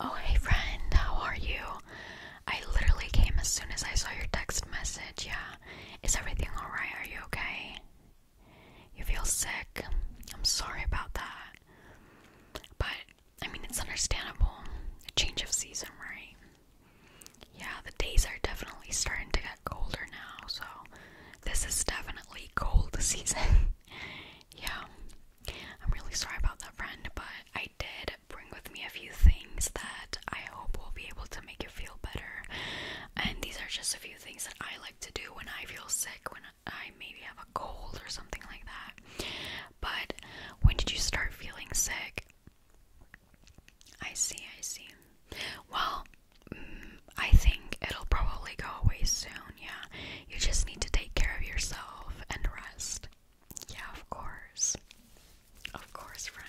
Oh, hey, friend, how are you? I literally came as soon as I saw your text message. Yeah, is everything alright? Are you okay? You feel sick? I'm sorry about that. But, I mean, it's understandable. change of season, right? Yeah, the days are definitely starting to get colder now, so this is definitely cold season. yeah. I'm really sorry about that, friend, but I did bring with me a few things that I hope will be able to make you feel better. And these are just a few things that I like to do when I feel sick, when I maybe have a cold or something like that. But when did you start feeling sick? I see, I see. Well, mm, I think it'll probably go away soon, yeah. You just need to take care of yourself and rest. Yeah, of course. Of course, friend.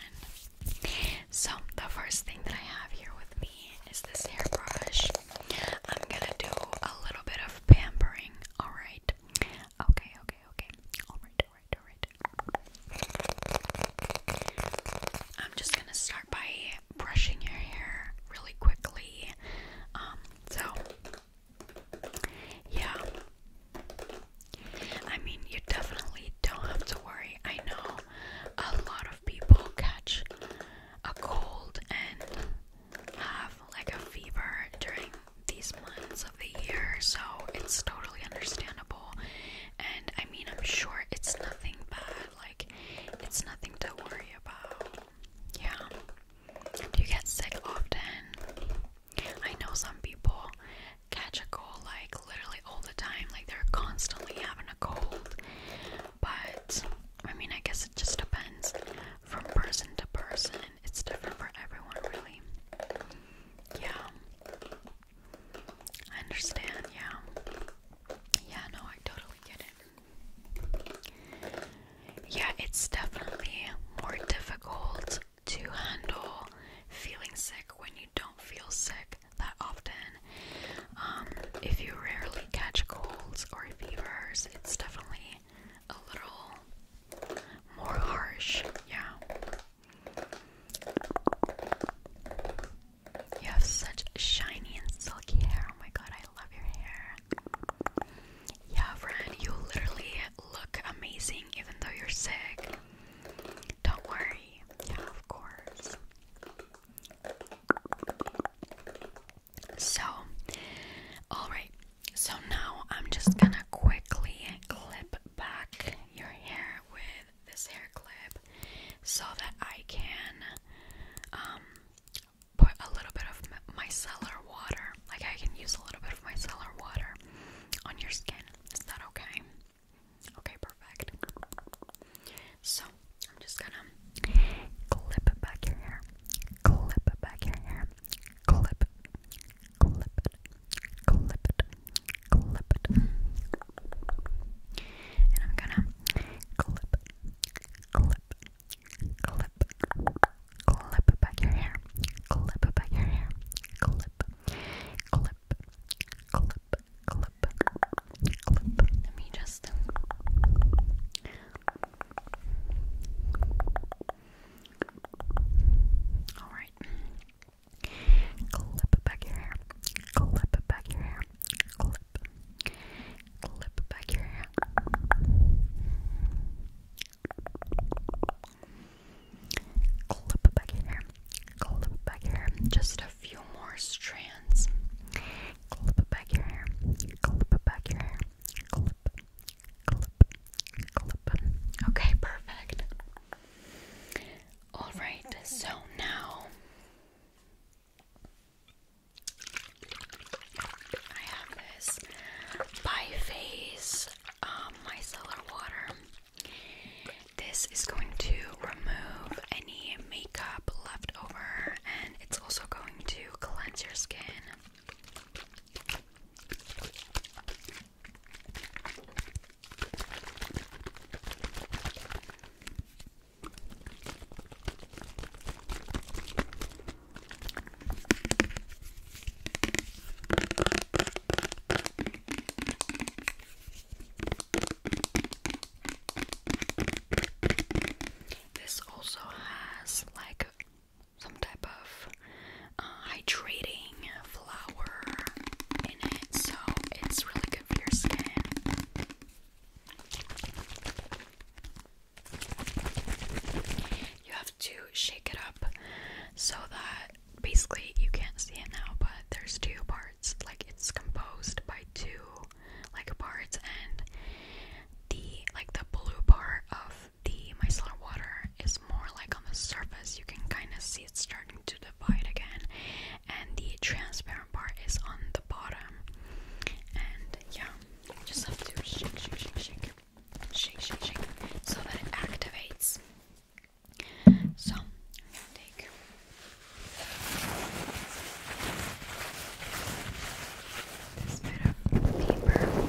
So, the first thing that I have here with me is this hairbrush. I'm gonna do a little bit of pampering, alright? Okay, okay, okay. Alright, alright, alright. I'm just gonna start by brushing your hair really quickly. Um, so yeah. I mean, you definitely don't have to worry. I know a lot of people catch a cold and have like a fever during these months of the year, so it's totally understandable. And I mean, I'm sure it's nothing bad, like, it's nothing to worry about. Yeah. Do you get sick often? I know some people catch a cold like literally all the time, like they're constantly having a cold. But I mean, I guess it just depends from person to person. It's different for everyone, really. Yeah. I understand, yeah. Yeah, no, I totally get it. Yeah, it's definitely more difficult to handle feeling sick when you don't feel sick that often. Um, if you rarely catch colds or fevers, it's definitely a little more harsh. Yeah. You have such shiny and silky hair. Oh my god, I love your hair. Yeah, friend, you literally look amazing even though you're sick. Don't worry. Yeah, of course. So, alright, so now I'm just gonna quickly clip back your hair with this hair clip so that I can um, put a little bit of micellar water, like I can use a little bit of micellar water on your skin. Is that okay? Okay, perfect. So, I'm just gonna clip back your hair, clip back your hair, clip, clip it, clip it, clip it. And I'm gonna clip, clip, clip, clip back your hair, clip back your hair, clip, clip, clip, clip, clip. Let me just. Um, all right. Clip back your hair. Clip back your hair. Clip clip back your hair. Clip back your hair. Clip back your hair. Just a few more strands. Clip back your hair. Clip back your hair. Clip. Clip. Clip. Okay, perfect. Alright, so now I have this by face um, micellar water. This is going to remove any makeup left over and it's also going to cleanse your skin. This also has like some type of uh, hydrating flower in it, so it's really good for your skin. You have to shake it up so that basically you can't see it now, but there's two parts. Like it's composed by two like parts and the like the blue part of the micellar water is more like on the surface. You can kind of see it starting to divide again and the transparent part is on the bottom. And yeah, just have to shake, shake, shake, shake, shake, shake, shake, so that it activates. So, take. This paper,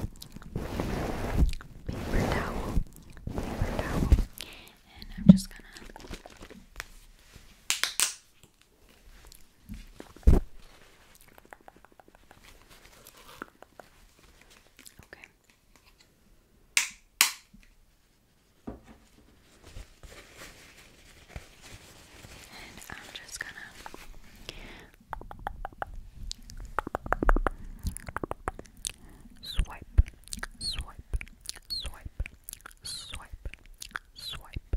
paper towel, paper towel, and I'm just gonna Okay. And I'm just gonna swipe, swipe, swipe, swipe, swipe,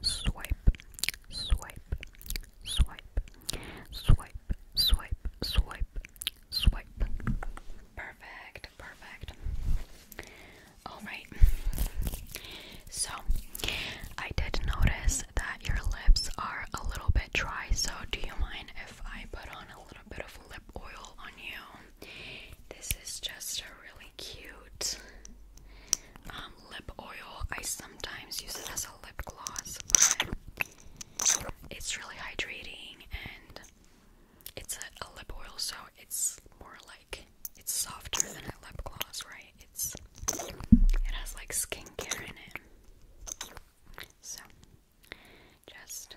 swipe, swipe, swipe, swipe, swipe, swipe, swipe. Perfect, perfect. Alright. So I did notice that your lips are a little bit dry, so do you mind if I put on a little bit of lip oil on you? This is just a really cute um, lip oil. I sometimes use it as a lip gloss, but it's really hydrating and it's a, a lip oil, so it's more like it's softer than a lip gloss, right? It's it has like skincare in it, so just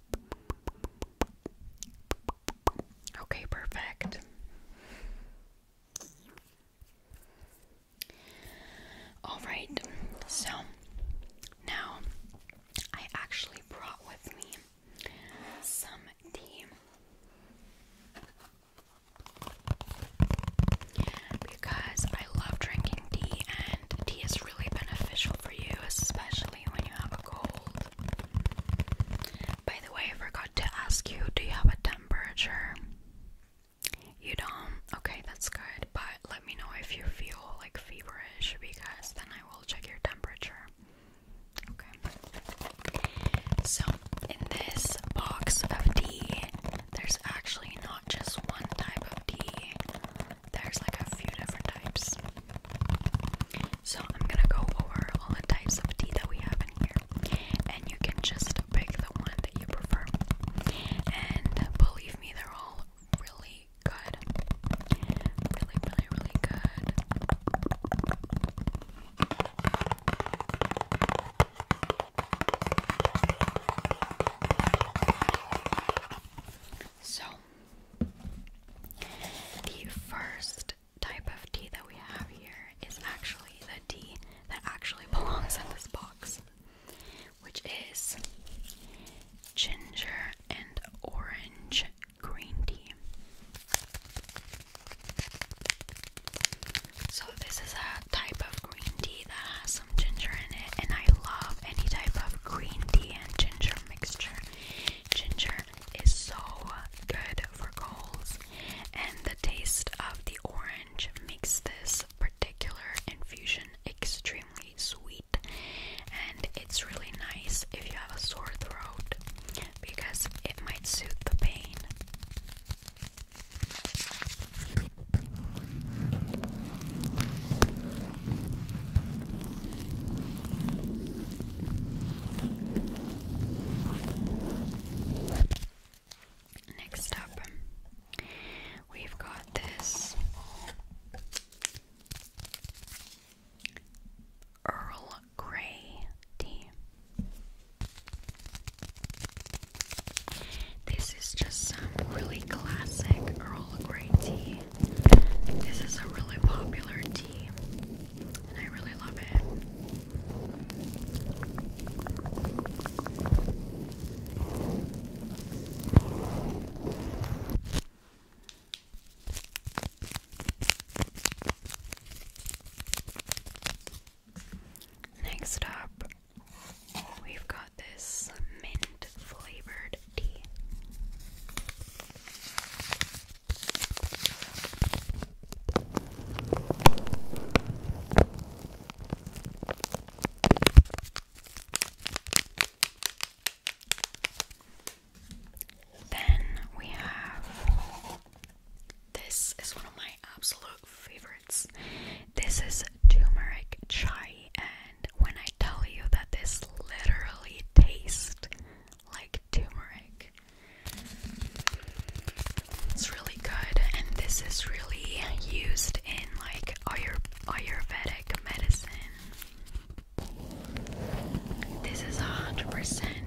Okay, perfect. All right, so now I actually brought with me some tea because I love drinking tea tea is really beneficial for you, especially when you have a cold. By the way, I forgot to ask you do you have a temperature? You don't? Okay, that's good, but let me know if you feel like feverish because then I will check your temperature. Okay. So, in this box of tea, there's actually not just one type of tea, there's like a few different types. So I'm gonna go over all the types of tea that we have in here, and you can just pick the one that you prefer. And believe me, they're all really good. Really, really, really good. So the first type of tea that we have here is actually the tea that actually belongs in this box, which is ginger and orange green tea. So, this is a type of green tea that has ginger in it, and I love any type of green tea and ginger mixture. Ginger is so good for colds, and the taste of the orange makes this particular infusion extremely sweet. And it's really nice if you have a sore throat because it might soothe the pain. Next up, we've got this Earl Grey tea. This is just some really classic Earl Grey tea. This is a really popular tea, and I really love it. Next up We've got this mint flavored tea. Then we have this is one of my absolute favorites. This is turmeric chai and when I tell you that this literally tastes like turmeric, it's really good, and this is really used in like Ayur Ayurvedic medicine. This is a hundred percent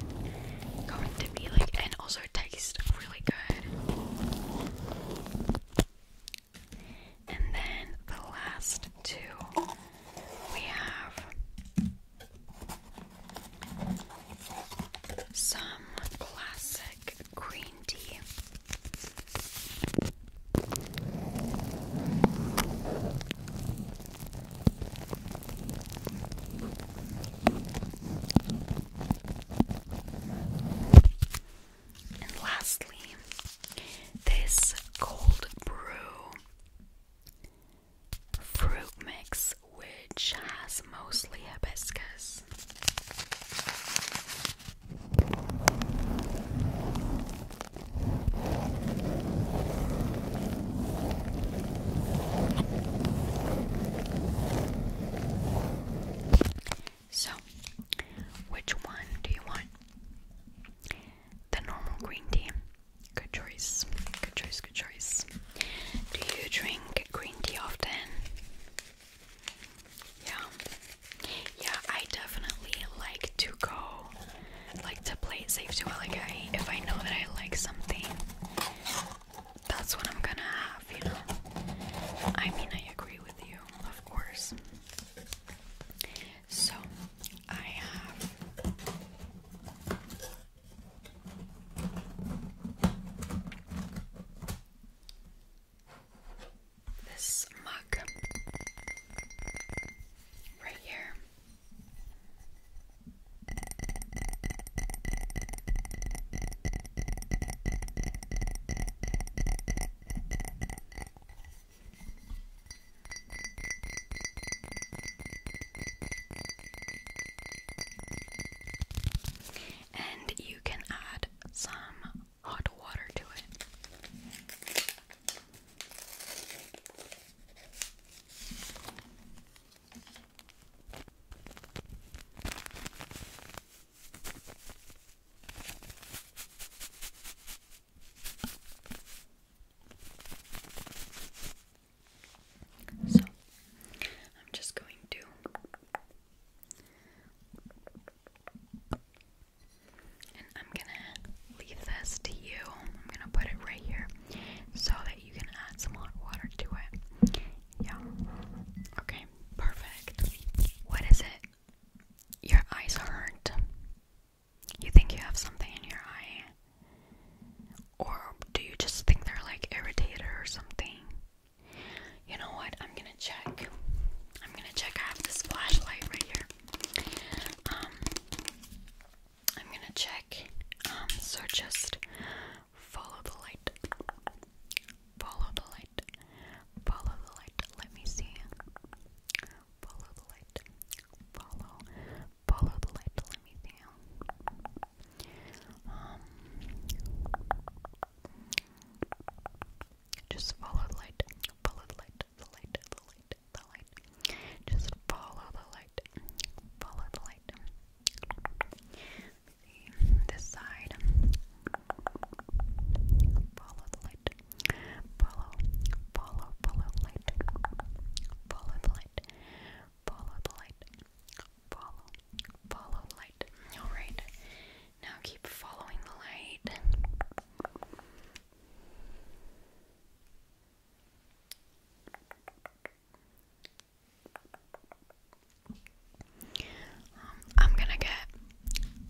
going to be like, and also it tastes really good. And then the last two we have some classic green tea. And lastly, this cold brew fruit mix, which has mostly hibiscus. So, which one do you want? The normal green tea. Good choice. Good choice, good choice. Do you drink green tea often? Yeah. Yeah, I definitely like to go like to play it safe too. Like I if I know that I like something, that's what I'm gonna have, you know. I mean I agree with you, of course. So I have this mug right here. And you can add some hot water to it. So, I'm just going to and I'm going to leave this to you. I'm going to put it right here so that you can add some hot water to it. Yeah. Okay, perfect. What is it? Your eyes hurt. You think you have something in your eye. Or do you just think they're like irritated or something? You know what? I'm gonna check. I'm gonna check. I have this flashlight right here. Um, I'm gonna check. Um, so just follow the light. Follow the light. Follow the light. Let me see. Follow the light. Follow. Follow the light to let me down. Um, just follow the light. Follow the light. The light. The light. The light. Just follow the light. Follow the light. This side. Follow the light. Follow, follow, follow the light. Follow the light. Follow the light. Follow, follow the light. Alright, now keep following the light. I'm gonna get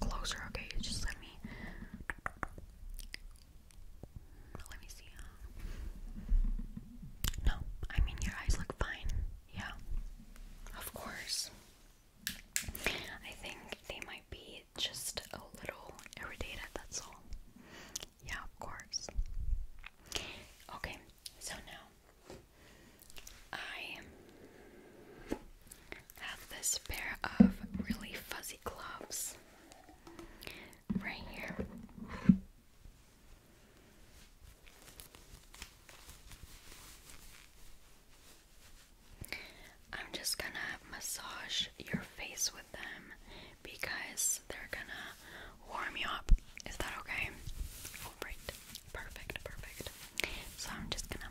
closer, okay? just let me let me see. No, I mean your eyes look fine. Yeah. Of course. I think they might be just a little irritated, that's all. Yeah, of course. Okay, so now I have this pair of really fuzzy gloves right here. I'm just gonna massage your face with them because they're gonna warm you up. Is that okay? Alright, perfect, perfect. So I'm just gonna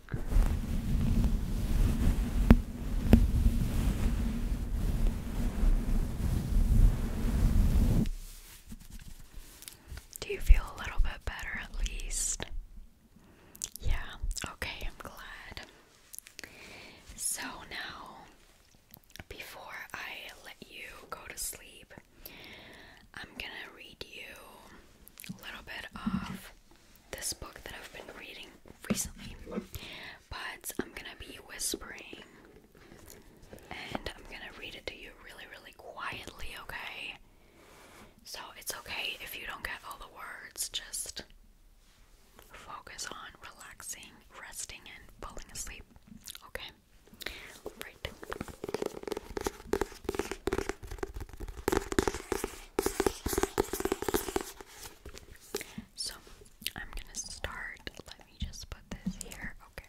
Do you feel a little bit better at least? Yeah, okay, I'm glad. So now, before I let you go to sleep, I'm gonna read you a little bit of this book that I've been reading recently, but I'm gonna be whispering and I'm gonna read it to you really, really quietly, okay? So it's okay if you don't get all the words, just focus on relaxing, resting, and falling asleep, okay? Right. So I'm gonna start. Let me just put this here. Okay.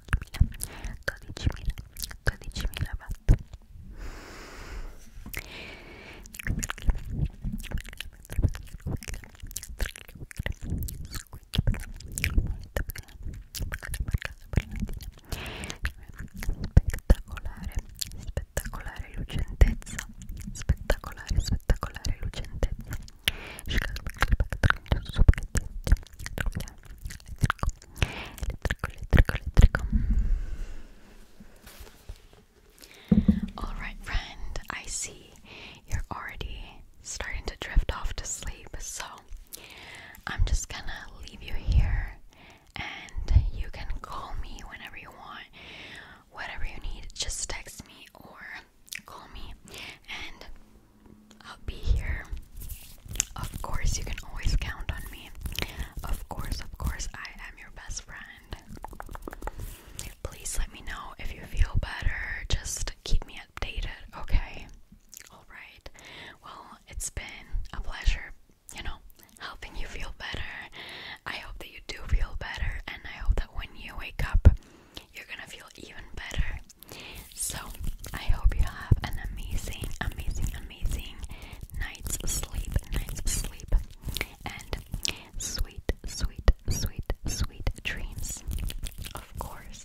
12.000 watt spettacolare spettacolare lucentezza spettacolare spettacolare lucentezza Alright, friend, I see you're already starting to drift off to sleep, so I'm just gonna leave you here and you can call me whenever you want, whatever you need, just text me or call me, and I'll be here. Of course, you can always count on me. Of course, of course, I am your best friend. Please let me know if you feel better. Just keep me updated, okay? Alright. Well, it's been a pleasure, you know, helping you feel better. I hope that you do feel better, and I hope that when you wake up, you're gonna feel even better. So, I hope you have an amazing, amazing, amazing night's sleep, night's sleep, and sweet, sweet, sweet, sweet dreams. Of course.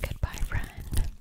Goodbye, friend.